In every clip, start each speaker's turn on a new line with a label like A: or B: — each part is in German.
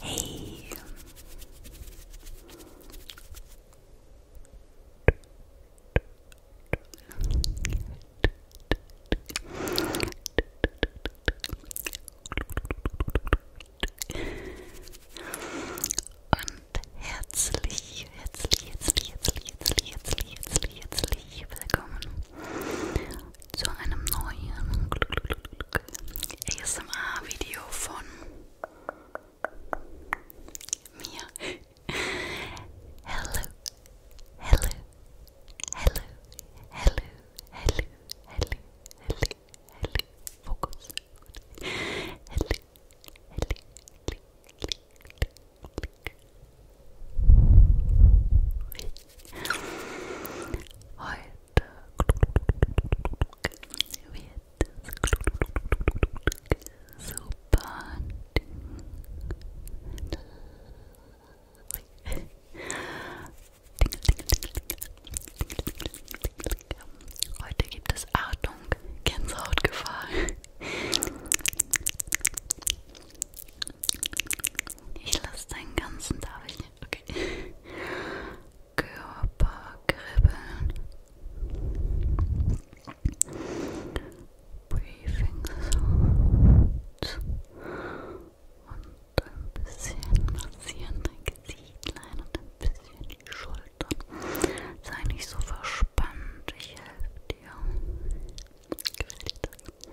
A: Hey. Und herzlich, herzlich, herzlich, herzlich, herzlich, herzlich, herzlich, herzlich, herzlich, herzlich willkommen zu einem neuen ASMR-Video von mir. Hello, hello, hello, hello, hello, hello, hello, hello. Fokus. Hello, hello, hello, hello, Heute wird es super Heute gibt es Achtung, Gänsehautgefahr. Ich lasse deinen ganzen darf ich nicht. Okay. Körper kribbeln. Briefing so. Und ein bisschen massieren dein Gesichtlein und ein bisschen die Schultern. Sei nicht so verspannt, ich helfe dir. Gefällt dir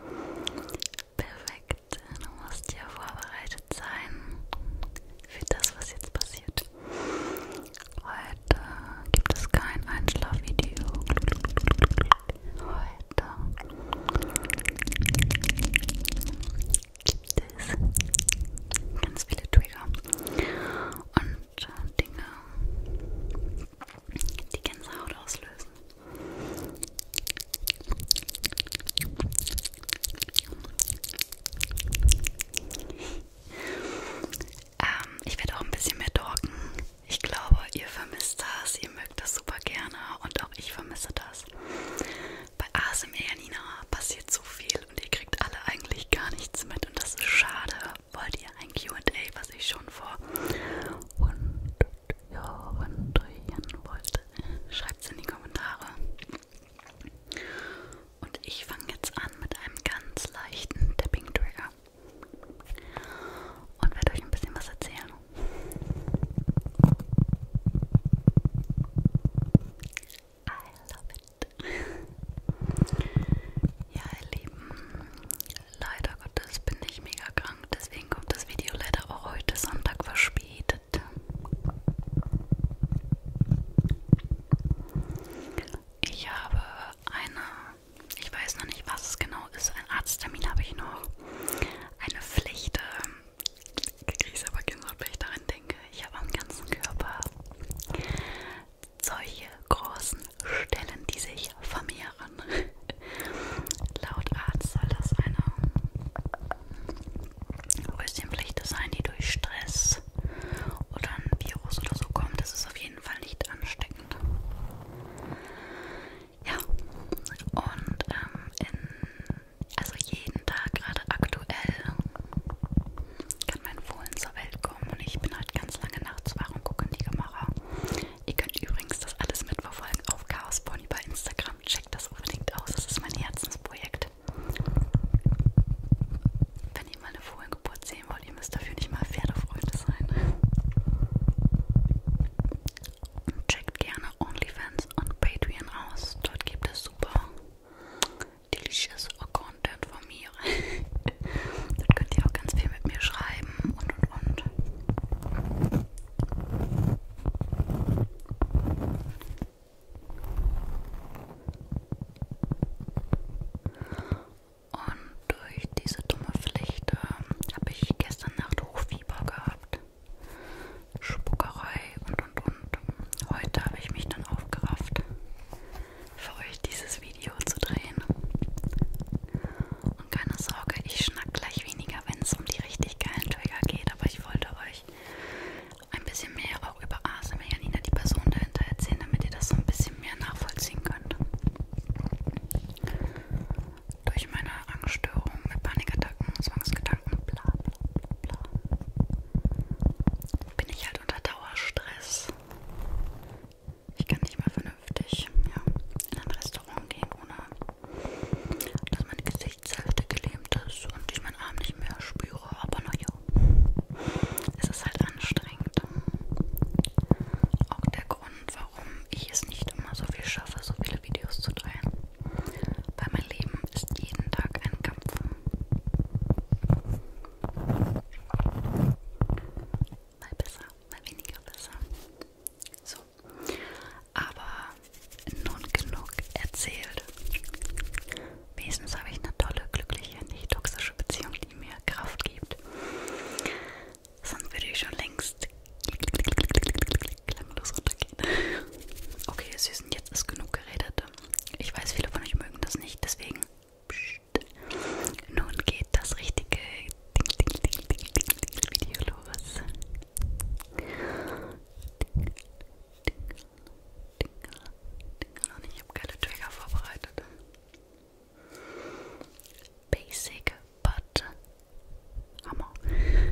A: Perfekt, du musst ja vorbereitet sein für das, was jetzt passiert. Heute gibt es kein Einschlafvideo. Heute gibt es ganz viele Trigger und äh, Dinge, die Gänsehaut auslösen. ähm, ich werde auch ein bisschen mehr talken. Ich glaube, ihr vermisst das, ihr mögt das super gerne und auch ich vermisse das. Bei ASMR Janina passiert so viel und ihr kriegt alle eigentlich gar nichts mit und das ist schade. Wollt ihr ein QA, was ich schon vor und hören wollt, schreibt es in die Kommentare. Und ich fange jetzt an mit einem ganz leichten Tapping-Trigger und werde euch ein bisschen was erzählen. I love it. Ja, ihr Lieben, leider Gottes bin ich mega krank, deswegen kommt das Video leider auch heute Sonntag verspätet. Ich habe eine, ich weiß noch nicht, was es genau ist, einen Arzttermin habe ich noch, eine Pflicht, ähm, kriege ich aber genau, wenn ich daran denke, ich habe am ganzen Körper solche großen Stellen, die sich von mir Meeren. Laut Arzt soll das eine Häuschenpflicht sein, die durch Stress oder ein Virus oder so kommt. Das ist auf jeden Fall nicht ansteckend. Ja, und ähm, in, also jeden Tag gerade aktuell kann mein Fohlen zur Welt kommen und ich bin halt ganz lange nachts wach und gucke in die Kamera. Ihr könnt übrigens das alles mitverfolgen auf Chaos Pony bei Instagram. Checkt das unbedingt aus, das ist mein Herzensprojekt. Wenn ihr mal eine Fohlengeburt sehen wollt, ihr müsst dafür nicht mal Pferdefreunde sein. Und checkt gerne OnlyFans und Patreon aus. Dort gibt es super delicious Content von mir. Dort könnt ihr auch ganz viel mit mir schreiben und und und. Und durch diese dumme Pflicht äh, habe ich gestern Nacht Hochfieber gehabt. Spuckerei und und und. Heute habe ich mich dann aufgerafft, für euch dieses Video zu drehen. Und keine Sorge, ich schnack gleich weniger, wenn es um die richtig geilen Trigger geht. Aber ich wollte euch ein bisschen mehr auch über ASMR, Janina, die Person dahinter erzählen, damit ihr das so ein bisschen mehr nachvollziehen könnt. Durch meine Angststörung mit Panikattacken, Zwangsgedanken, bla bla bla bin ich halt unter Dauerstress. Ich kann nicht mehr vernünftig ja, in einem Restaurant Restaurant gehen, ohne dass meine Gesichtshälfte gelähmt ist und ich meinen Arm nicht mehr spüre. Aber naja, es ist halt anstrengend. Auch der Grund, warum ich es nicht immer so viel schaffe, so viele Videos zu drehen. Weil mein Leben ist jeden Tag ein Kampf. Mal besser, mal weniger besser. So, so. Aber nun genug erzählt. Wenigstens habe ich eine tolle, glückliche, nicht toxische Beziehung, die mir Kraft gibt. Sonst würde ich schon längst klemmlos runtergehen. Okay, ihr Süßen, jetzt ist genug geredet. Ich weiß, viele von euch mögen das nicht, deswegen. Pssst. Nun geht das richtige ding, ding, ding, ding, ding, ding Video los. Ding, ding, ding, Und ich habe keine Trigger vorbereitet. Basic but Hammer. Hm.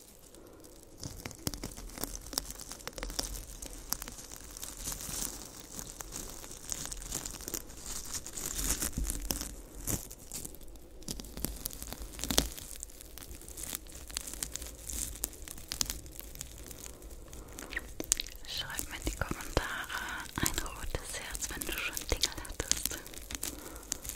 A: Schreib mir in die Kommentare ein rotes Herz, wenn du schon Dinge hattest.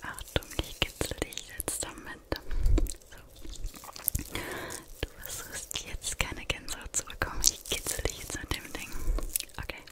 A: Achtung, ich kitzel dich jetzt damit. So. Du versuchst jetzt keine Gänsehaut zu bekommen. Ich kitzel dich jetzt mit dem Ding. Okay.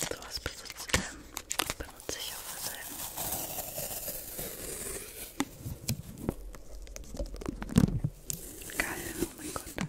A: So was besitzt, ähm, benutze ich auch für selten. Geil, oh mein Gott.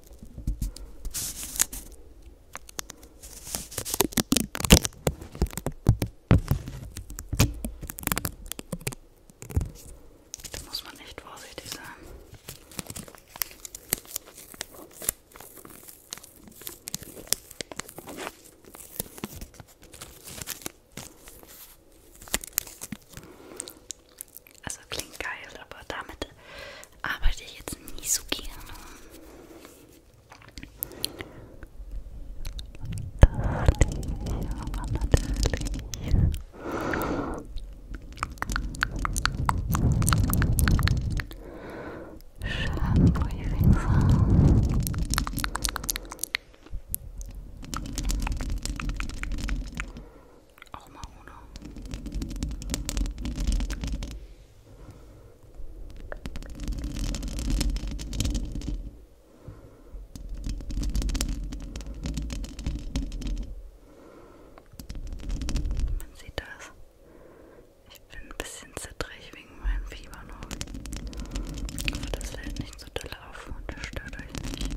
A: Da muss man echt vorsichtig sein. Also klingt geil, aber damit arbeite ich jetzt nie so gerne. Dachte ich aber natürlich. Schadenbriefing fahren. Ach, auch mal ohne. Man sieht das. Ich bin ein bisschen zittrig wegen meinem Fieber noch. Aber das fällt nicht so doll auf und das stört euch nicht.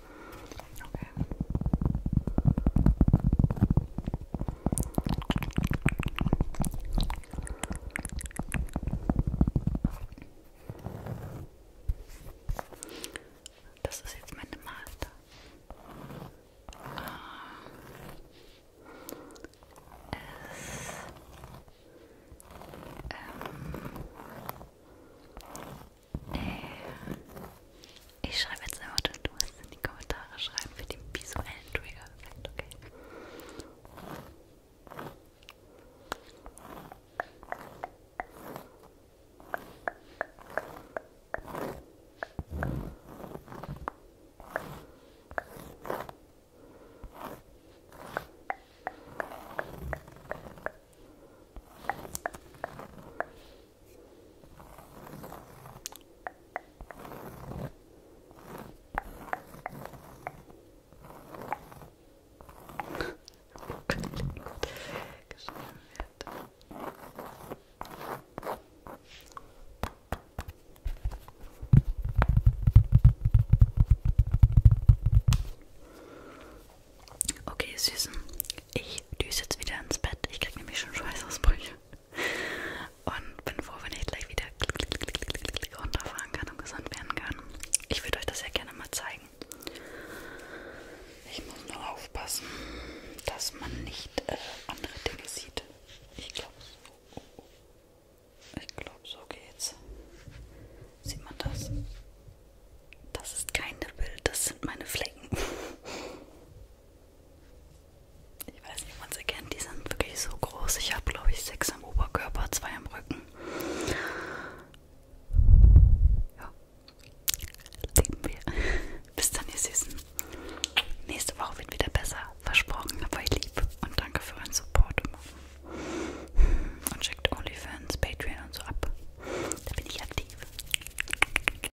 A: Okay. Das ist jetzt meine Malte. Ah. Es ähm, äh, ich schreibe jetzt eine Worte und du musst in die Kommentare schreiben für den visuellen Trigger-Effekt, okay? Okay, Okay, Süßen, ich düse jetzt wieder ins Bett. Ich krieg nämlich schon Schweißausbrüche. Und bin froh, wenn ich gleich wieder runterfahren kann und gesund werden kann. Ich würde euch das ja gerne mal zeigen. Ich muss nur aufpassen, dass man nicht äh, andere Dinge sieht. Ich glaube, so, ich glaube, so geht's. Sieht man das? Das ist kein Bild, das sind meine Flecken. Ich weiß nicht, ob man sie kennt. Die sind wirklich so groß. Ich habe, glaube ich, sechs am Oberkörper, zwei am Rücken. Ja. Lieben wir. Bis dann, ihr Süßen. Nächste Woche wird wieder besser. Versprochen, aber ich lieb. Und danke für euren Support. Und checkt OnlyFans, Patreon und so ab. Da bin ich aktiv.